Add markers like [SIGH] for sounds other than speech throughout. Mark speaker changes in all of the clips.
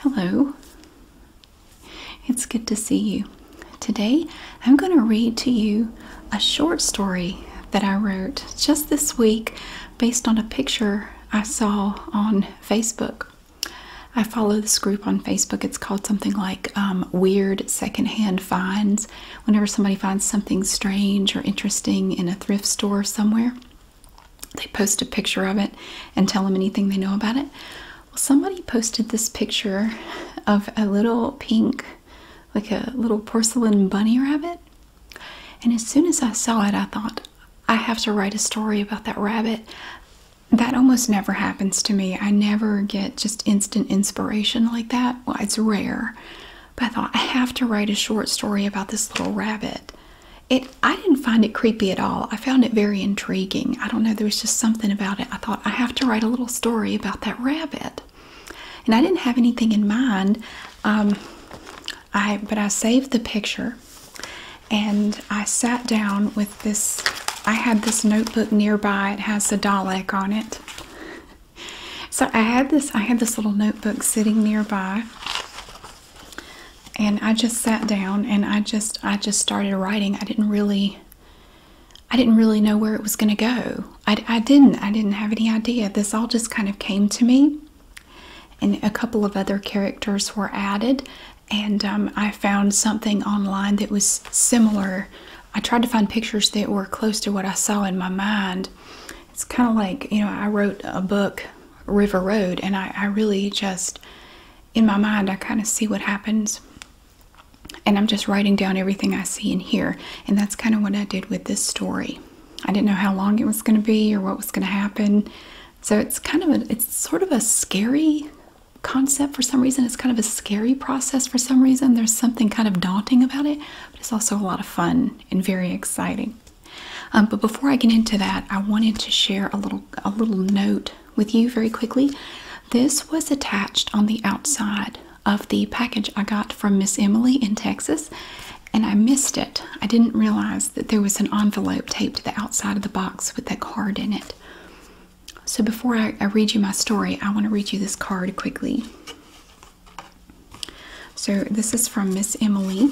Speaker 1: Hello. It's good to see you. Today I'm going to read to you a short story that I wrote just this week based on a picture I saw on Facebook. I follow this group on Facebook. It's called something like um, Weird Secondhand Finds. Whenever somebody finds something strange or interesting in a thrift store somewhere, they post a picture of it and tell them anything they know about it. Well, somebody posted this picture of a little pink, like a little porcelain bunny rabbit. And as soon as I saw it, I thought, I have to write a story about that rabbit. That almost never happens to me. I never get just instant inspiration like that. Well, it's rare. But I thought, I have to write a short story about this little rabbit it I didn't find it creepy at all. I found it very intriguing. I don't know, there was just something about it. I thought I have to write a little story about that rabbit. And I didn't have anything in mind. Um, I but I saved the picture and I sat down with this I had this notebook nearby. It has a Dalek on it. So I had this I had this little notebook sitting nearby and I just sat down and I just I just started writing. I didn't really I didn't really know where it was going to go. I, didn't I didn't have any idea. This all just kind of came to me, and a couple of other characters were added, and um, I found something online that was similar. I tried to find pictures that were close to what I saw in my mind. It's kind of like you know I wrote a book River Road, and I really just in my mind, I kind of see what happens, and I'm just writing down everything I see and hear. And that's kind of what I did with this story. I didn't know how long it was going to be or what was going to happen. So it's kind of a, it's sort of a scary concept for some reason. It's kind of a scary process for some reason. There's something kind of daunting about it, but it's also a lot of fun and very exciting. Um, but before I get into that, I wanted to share a little a little note with you very quickly. This was attached on the outside of the package I got from Miss Emily in Texas, and I missed it. I didn't realize that there was an envelope taped to the outside of the box with that card in it. So before I read you my story, I want to read you this card quickly. So this is from Miss Emily.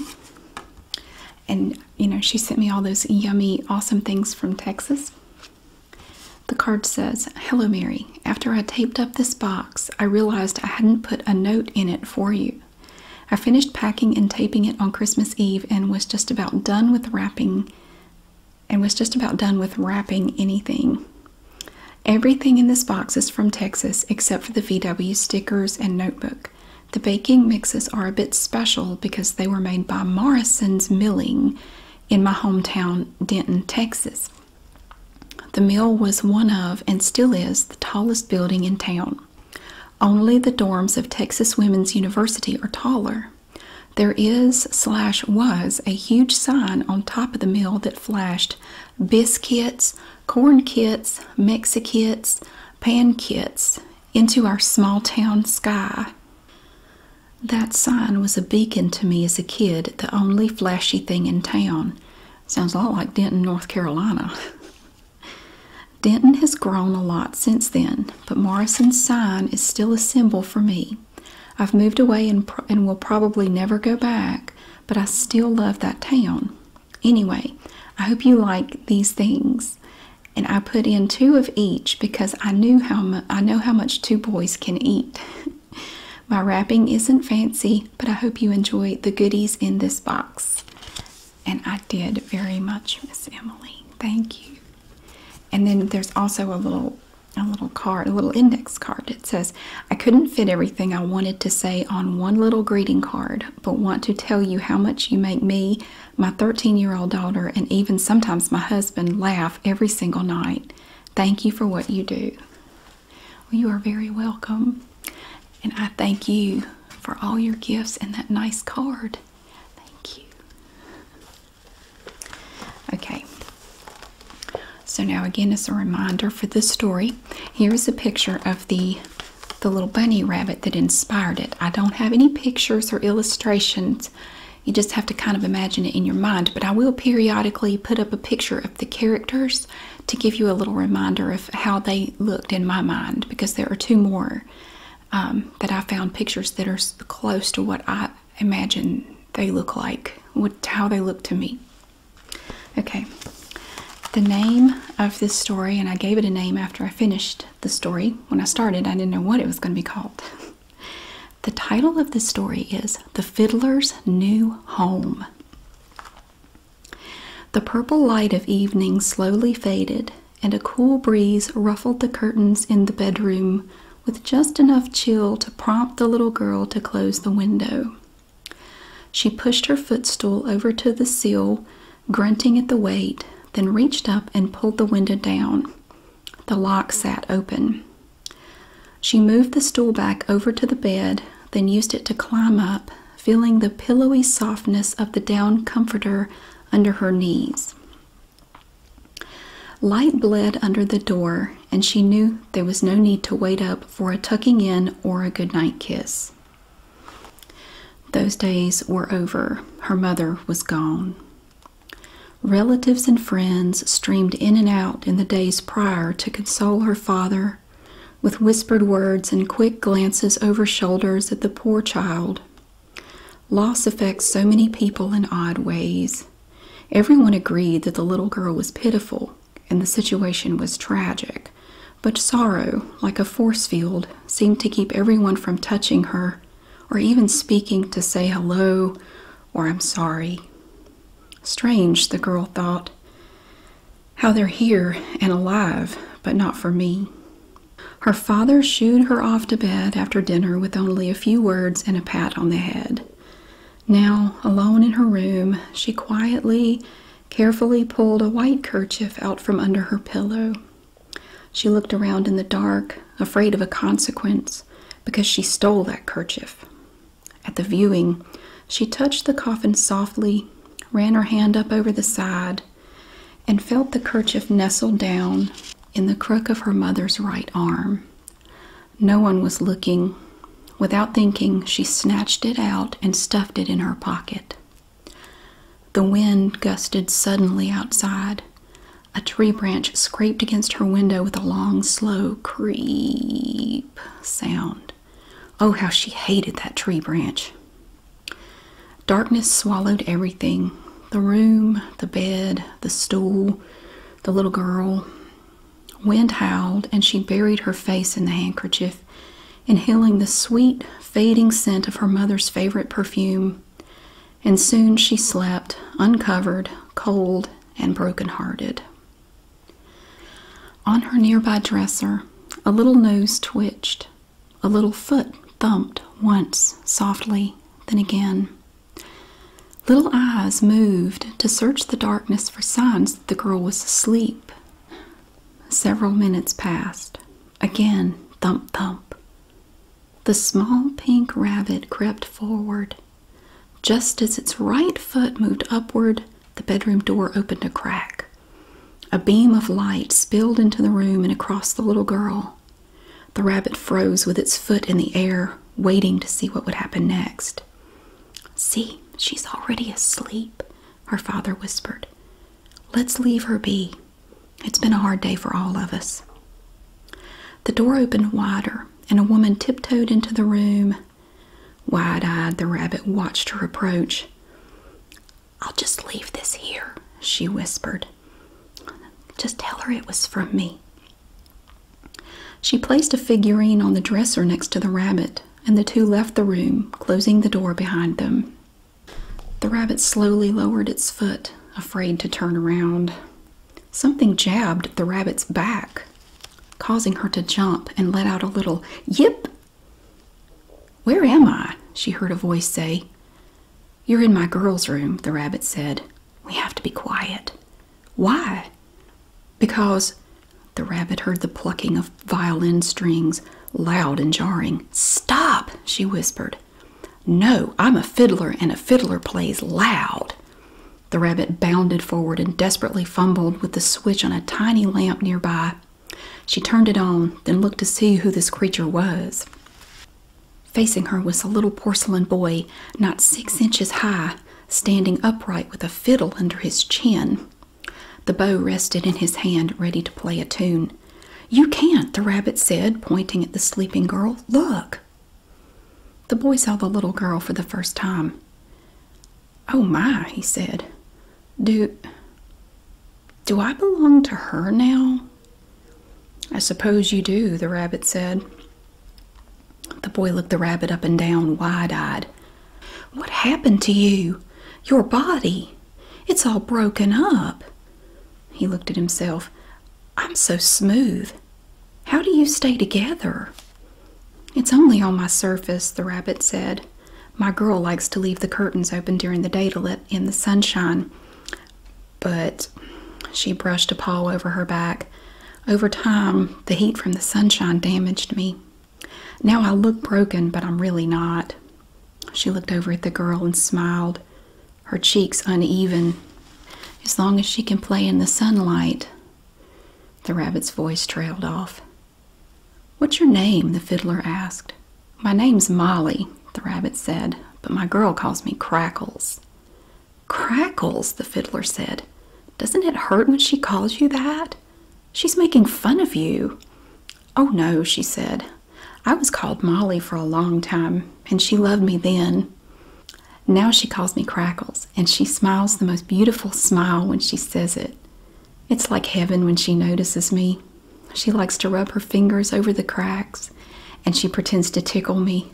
Speaker 1: And you know, she sent me all those yummy, awesome things from Texas. The card says, Hello, Mary. After I taped up this box, I realized I hadn't put a note in it for you. I finished packing and taping it on Christmas Eve and was just about done with wrapping and was just about done with wrapping anything. Everything in this box is from Texas except for the VW stickers and notebook. The baking mixes are a bit special because they were made by Morrison's Milling in my hometown, Denton, Texas. The mill was one of, and still is, the tallest building in town. Only the dorms of Texas Women's University are taller. There is slash was a huge sign on top of the mill that flashed biscuits, corn kits, mexikits, pan kits, into our small town sky. That sign was a beacon to me as a kid, the only flashy thing in town. Sounds a lot like Denton, North Carolina. [LAUGHS] Denton has grown a lot since then, but Morrison's sign is still a symbol for me. I've moved away and, will probably never go back, but I still love that town. Anyway, I hope you like these things. And I put in two of each because I knew how I know how much two boys can eat. [LAUGHS] My wrapping isn't fancy, but I hope you enjoy the goodies in this box. And I did very much, Miss Emily. Thank you. And then there's also a little a little card, a little index card that says, I couldn't fit everything I wanted to say on one little greeting card, but want to tell you how much you make me, my 13 year old daughter, and even sometimes my husband, laugh every single night. Thank you for what you do. you are very welcome. And I thank you for all your gifts and that nice card. Thank you. Okay. So, now again, as a reminder for this story, here is a picture of the the little bunny rabbit that inspired it. I don't have any pictures or illustrations. You just have to kind of imagine it in your mind, but I will periodically put up a picture of the characters to give you a little reminder of how they looked in my mind because there are two more um, that I found pictures that are close to what I imagine they look like, what, how they look to me. Okay, the name of this story, and I gave it a name after I finished the story, when I started, I didn't know what it was going to be called. [LAUGHS] the title of this story is The Fiddler's New Home. The purple light of evening slowly faded, and a cool breeze ruffled the curtains in the bedroom with just enough chill to prompt the little girl to close the window. She pushed her footstool over to the sill grunting at the weight, then reached up and pulled the window down. The lock sat open. She moved the stool back over to the bed, then used it to climb up, feeling the pillowy softness of the down comforter under her knees. Light bled under the door, and she knew there was no need to wait up for a tucking in or a goodnight kiss. Those days were over. Her mother was gone. Relatives and friends streamed in and out in the days prior to console her father with whispered words and quick glances over shoulders at the poor child. Loss affects so many people in odd ways. Everyone agreed that the little girl was pitiful and the situation was tragic, but sorrow, like a force field, seemed to keep everyone from touching her or even speaking to say hello or I'm sorry. Strange, the girl thought, how they're here and alive, but not for me. Her father shooed her off to bed after dinner with only a few words and a pat on the head. Now, alone in her room, she quietly carefully pulled a white kerchief out from under her pillow. She looked around in the dark, afraid of a consequence, because she stole that kerchief. At the viewing, she touched the coffin softly, ran her hand up over the side, and felt the kerchief nestled down in the crook of her mother's right arm. No one was looking. Without thinking, she snatched it out and stuffed it in her pocket. The wind gusted suddenly outside. A tree branch scraped against her window with a long, slow creep sound. Oh, how she hated that tree branch! Darkness swallowed everything the room, the bed, the stool, the little girl. Wind howled, and she buried her face in the handkerchief inhaling the sweet, fading scent of her mother's favorite perfume. And soon she slept, uncovered, cold, and broken-hearted. On her nearby dresser, a little nose twitched, a little foot thumped once softly, then again. Little eyes moved to search the darkness for signs that the girl was asleep. Several minutes passed. Again, thump thump. The small pink rabbit crept forward. Just as its right foot moved upward, the bedroom door opened a crack. A beam of light spilled into the room and across the little girl. The rabbit froze with its foot in the air, waiting to see what would happen next. See, she's already asleep, her father whispered. Let's leave her be. It's been a hard day for all of us. The door opened wider, and a woman tiptoed into the room. Wide eyed, the rabbit watched her approach. I'll just leave this here, she whispered. Just tell her it was from me. She placed a figurine on the dresser next to the rabbit, and the two left the room, closing the door behind them. The rabbit slowly lowered its foot, afraid to turn around. Something jabbed the rabbit's back, causing her to jump and let out a little yip. Where am I? she heard a voice say. You're in my girl's room, the rabbit said. We have to be quiet. Why? Because the rabbit heard the plucking of violin strings, loud and jarring. Stop, she whispered. No, I'm a fiddler, and a fiddler plays loud. The rabbit bounded forward and desperately fumbled with the switch on a tiny lamp nearby. She turned it on, then looked to see who this creature was. Facing her was a little porcelain boy, not six inches high, standing upright with a fiddle under his chin. The bow rested in his hand, ready to play a tune. You can't, the rabbit said, pointing at the sleeping girl. Look! The boy saw the little girl for the first time. Oh my, he said. Do. Do I belong to her now? I suppose you do, the rabbit said. The boy looked the rabbit up and down, wide eyed. What happened to you? Your body. It's all broken up. He looked at himself. I'm so smooth. How do you stay together? It's only on my surface, the rabbit said. My girl likes to leave the curtains open during the day to let in the sunshine. But she brushed a paw over her back. Over time, the heat from the sunshine damaged me. Now I look broken, but I'm really not. She looked over at the girl and smiled, her cheeks uneven. As long as she can play in the sunlight. The rabbit's voice trailed off. What's your name? the fiddler asked. My name's Molly, the rabbit said, but my girl calls me Crackles. Crackles, the fiddler said. Doesn't it hurt when she calls you that? She's making fun of you. Oh no, she said. I was called Molly for a long time, and she loved me then. Now she calls me Crackles, and she smiles the most beautiful smile when she says it. It's like heaven when she notices me. She likes to rub her fingers over the cracks, and she pretends to tickle me.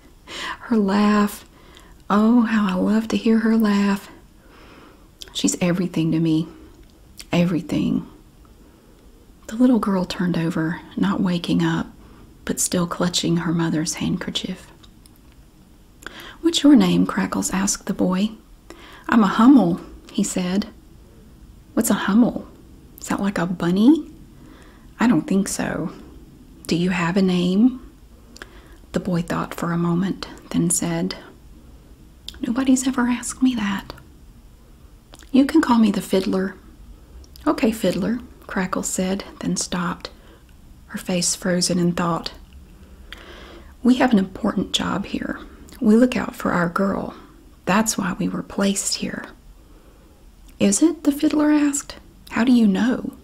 Speaker 1: [LAUGHS] her laugh, oh, how I love to hear her laugh. She's everything to me. Everything. The little girl turned over, not waking up, but still clutching her mother's handkerchief. What's your name? Crackles asked the boy. I'm a Hummel, he said. What's a Hummel? Sounds like a bunny? I don't think so. Do you have a name? The boy thought for a moment, then said, Nobody's ever asked me that. You can call me the fiddler. Okay, fiddler, Crackles said, then stopped, her face frozen in thought. We have an important job here. We look out for our girl. That's why we were placed here. Is it? the fiddler asked. How do you know?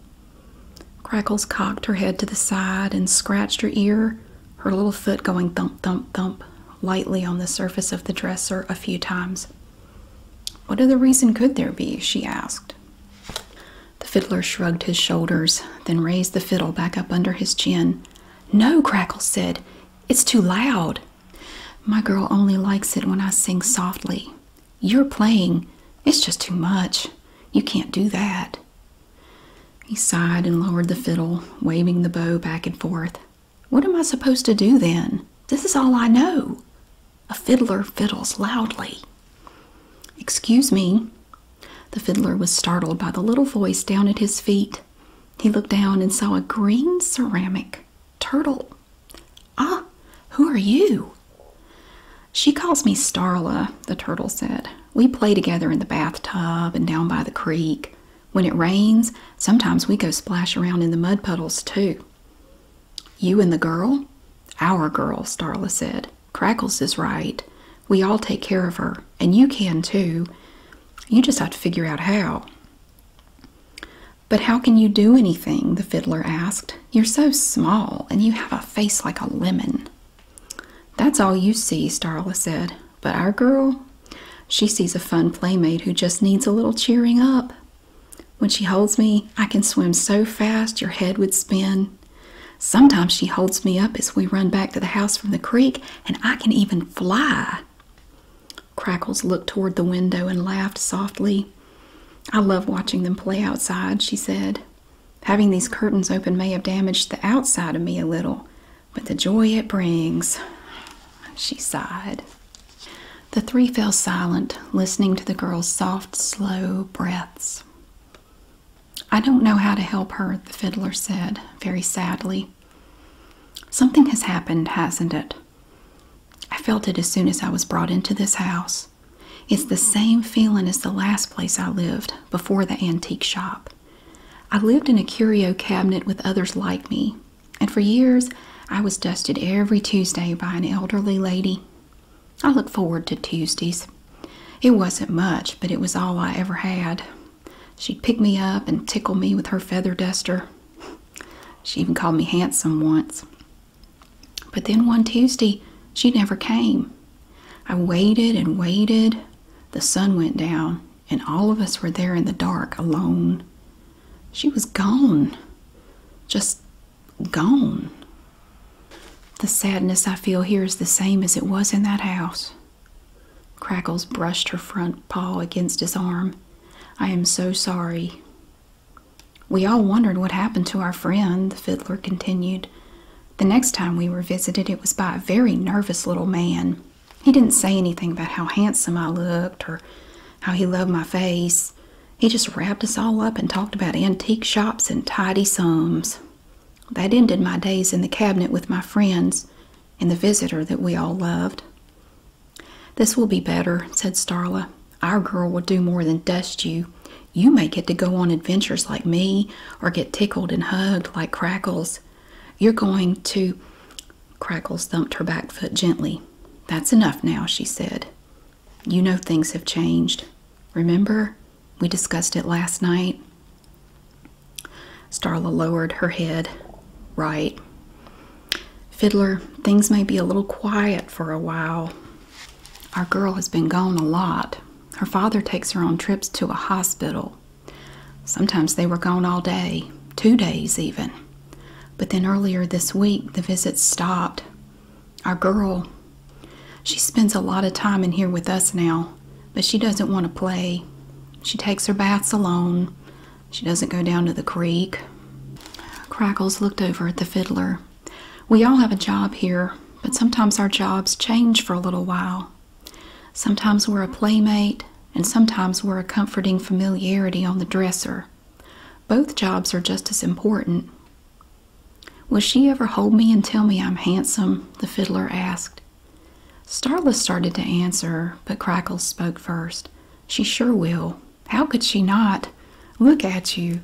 Speaker 1: Crackles cocked her head to the side and scratched her ear her little foot going thump, thump, thump lightly on the surface of the dresser a few times. What other reason could there be? she asked. The fiddler shrugged his shoulders, then raised the fiddle back up under his chin. No, Crackle said, it's too loud. My girl only likes it when I sing softly. You're playing, it's just too much. You can't do that. He sighed and lowered the fiddle, waving the bow back and forth. What am I supposed to do then? This is all I know. A fiddler fiddles loudly. Excuse me. The fiddler was startled by the little voice down at his feet. He looked down and saw a green ceramic turtle. Ah, who are you? She calls me Starla, the turtle said. We play together in the bathtub and down by the creek. When it rains, sometimes we go splash around in the mud puddles too. You and the girl? Our girl, Starla said. Crackles is right. We all take care of her, and you can too. You just have to figure out how. But how can you do anything? the fiddler asked. You're so small, and you have a face like a lemon. That's all you see, Starla said. But our girl, she sees a fun playmate who just needs a little cheering up. When she holds me, I can swim so fast your head would spin. Sometimes she holds me up as we run back to the house from the creek, and I can even fly. Crackles looked toward the window and laughed softly. I love watching them play outside, she said. Having these curtains open may have damaged the outside of me a little, but the joy it brings. She sighed. The three fell silent, listening to the girl's soft, slow breaths. I don't know how to help her, the fiddler said, very sadly. Something has happened, hasn't it? I felt it as soon as I was brought into this house. It's the same feeling as the last place I lived, before the antique shop. I lived in a curio cabinet with others like me, and for years I was dusted every Tuesday by an elderly lady. I looked forward to Tuesdays. It wasn't much, but it was all I ever had. She'd pick me up and tickle me with her feather duster. She even called me handsome once. But then one Tuesday, she never came. I waited and waited. The sun went down, and all of us were there in the dark alone. She was gone. Just gone. The sadness I feel here is the same as it was in that house. Crackles brushed her front paw against his arm. I am so sorry. We all wondered what happened to our friend, the fiddler continued. The next time we were visited, it was by a very nervous little man. He didn't say anything about how handsome I looked or how he loved my face. He just wrapped us all up and talked about antique shops and tidy sums. That ended my days in the cabinet with my friends and the visitor that we all loved. This will be better, said Starla. Our girl will do more than dust you. You may get to go on adventures like me or get tickled and hugged like Crackles, you're going to. Crackles thumped her back foot gently. That's enough now, she said. You know things have changed. Remember? We discussed it last night. Starla lowered her head. Right. Fiddler, things may be a little quiet for a while. Our girl has been gone a lot. Her father takes her on trips to a hospital. Sometimes they were gone all day, two days even. But then earlier this week, the visits stopped. Our girl, she spends a lot of time in here with us now, but she doesn't want to play. She takes her baths alone. She doesn't go down to the creek. Crackles looked over at the fiddler. We all have a job here, but sometimes our jobs change for a little while. Sometimes we're a playmate, and sometimes we're a comforting familiarity on the dresser. Both jobs are just as important. Will she ever hold me and tell me I'm handsome? the fiddler asked. Starla started to answer, but Crackles spoke first. She sure will. How could she not? Look at you.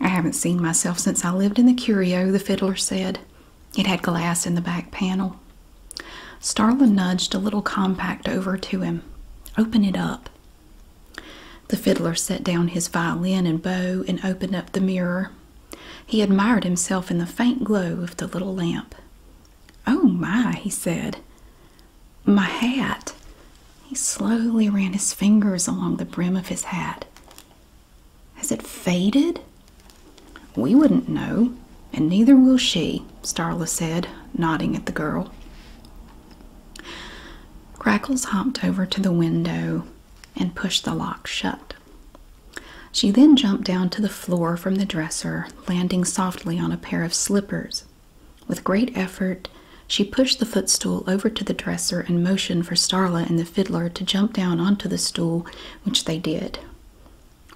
Speaker 1: I haven't seen myself since I lived in the curio, the fiddler said. It had glass in the back panel. Starla nudged a little compact over to him. Open it up. The fiddler set down his violin and bow and opened up the mirror. He admired himself in the faint glow of the little lamp. Oh my, he said. My hat. He slowly ran his fingers along the brim of his hat. Has it faded? We wouldn't know, and neither will she, Starla said, nodding at the girl. Crackles hopped over to the window and pushed the lock shut. She then jumped down to the floor from the dresser, landing softly on a pair of slippers. With great effort, she pushed the footstool over to the dresser and motioned for Starla and the fiddler to jump down onto the stool which they did.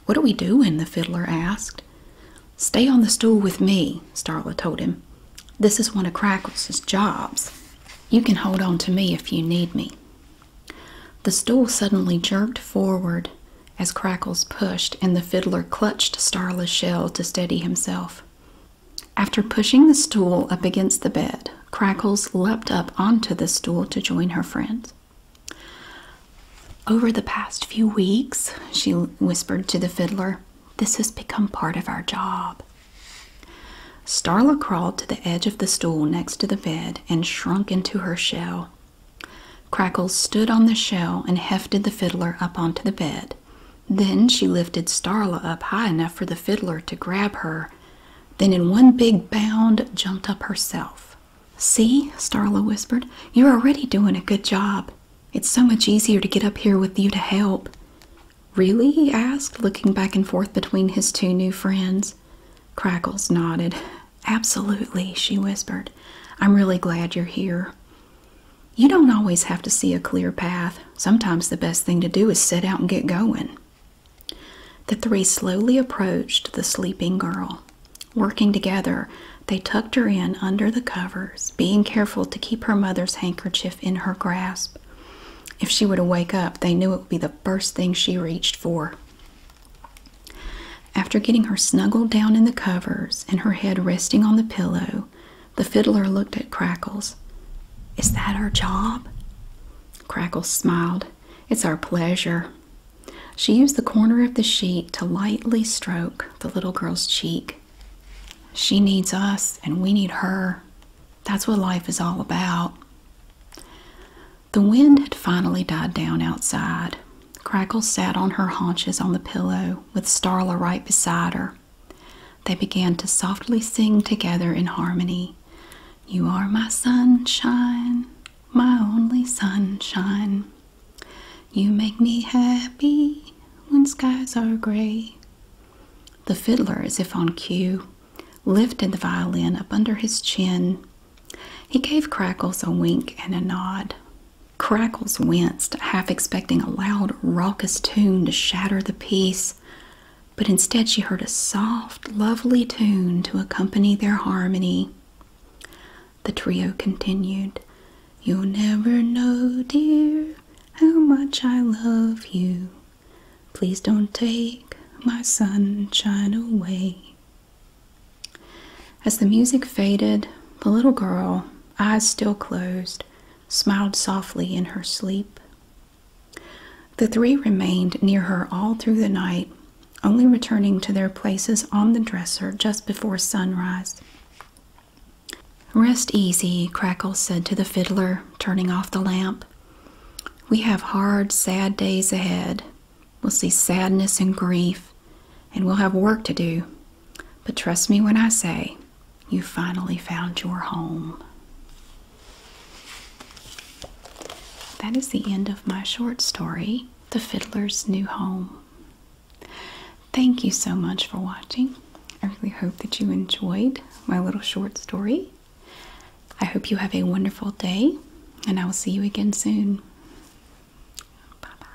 Speaker 1: What do we do? In the fiddler asked. Stay on the stool with me, Starla told him. This is one of Crackles's jobs. You can hold on to me if you need me. The stool suddenly jerked forward as Crackles pushed, and the fiddler clutched Starla's shell to steady himself. After pushing the stool up against the bed, Crackles leapt up onto the stool to join her friends. Over the past few weeks, she whispered to the fiddler, this has become part of our job. Starla crawled to the edge of the stool next to the bed and shrunk into her shell. Crackles stood on the shell and hefted the fiddler up onto the bed. Then she lifted Starla up high enough for the fiddler to grab her then in one big bound jumped up herself. See, Starla whispered, you're already doing a good job. It's so much easier to get up here with you to help. Really? he asked, looking back and forth between his two new friends. Crackles nodded. Absolutely, she whispered. I'm really glad you're here. You don't always have to see a clear path. Sometimes the best thing to do is set out and get going. The three slowly approached the sleeping girl. Working together, they tucked her in under the covers, being careful to keep her mother's handkerchief in her grasp. If she were to wake up, they knew it would be the first thing she reached for. After getting her snuggled down in the covers and her head resting on the pillow, the fiddler looked at Crackles. Is that her job? Crackle smiled. It's our pleasure. She used the corner of the sheet to lightly stroke the little girl's cheek. She needs us, and we need her. That's what life is all about. The wind had finally died down outside. Crackle sat on her haunches on the pillow with Starla right beside her. They began to softly sing together in harmony. You are my sunshine, my only sunshine. You make me happy when skies are gray. The fiddler, as if on cue, lifted the violin up under his chin. He gave Crackles a wink and a nod. Crackles winced, half expecting a loud, raucous tune to shatter the peace, but instead she heard a soft, lovely tune to accompany their harmony. The trio continued, You'll never know, dear, how much I love you. Please don't take my sunshine away. As the music faded, the little girl, eyes still closed, smiled softly in her sleep. The three remained near her all through the night, only returning to their places on the dresser just before sunrise. Rest easy, Crackles said to the fiddler, turning off the lamp. We have hard, sad days ahead. We'll see sadness and grief, and we'll have work to do. But trust me when I say, you finally found your home. That is the end of my short story, The Fiddler's New Home. Thank you so much for watching. I really hope that you enjoyed my little short story. I hope you have a wonderful day, and I will see you again soon. Bye bye.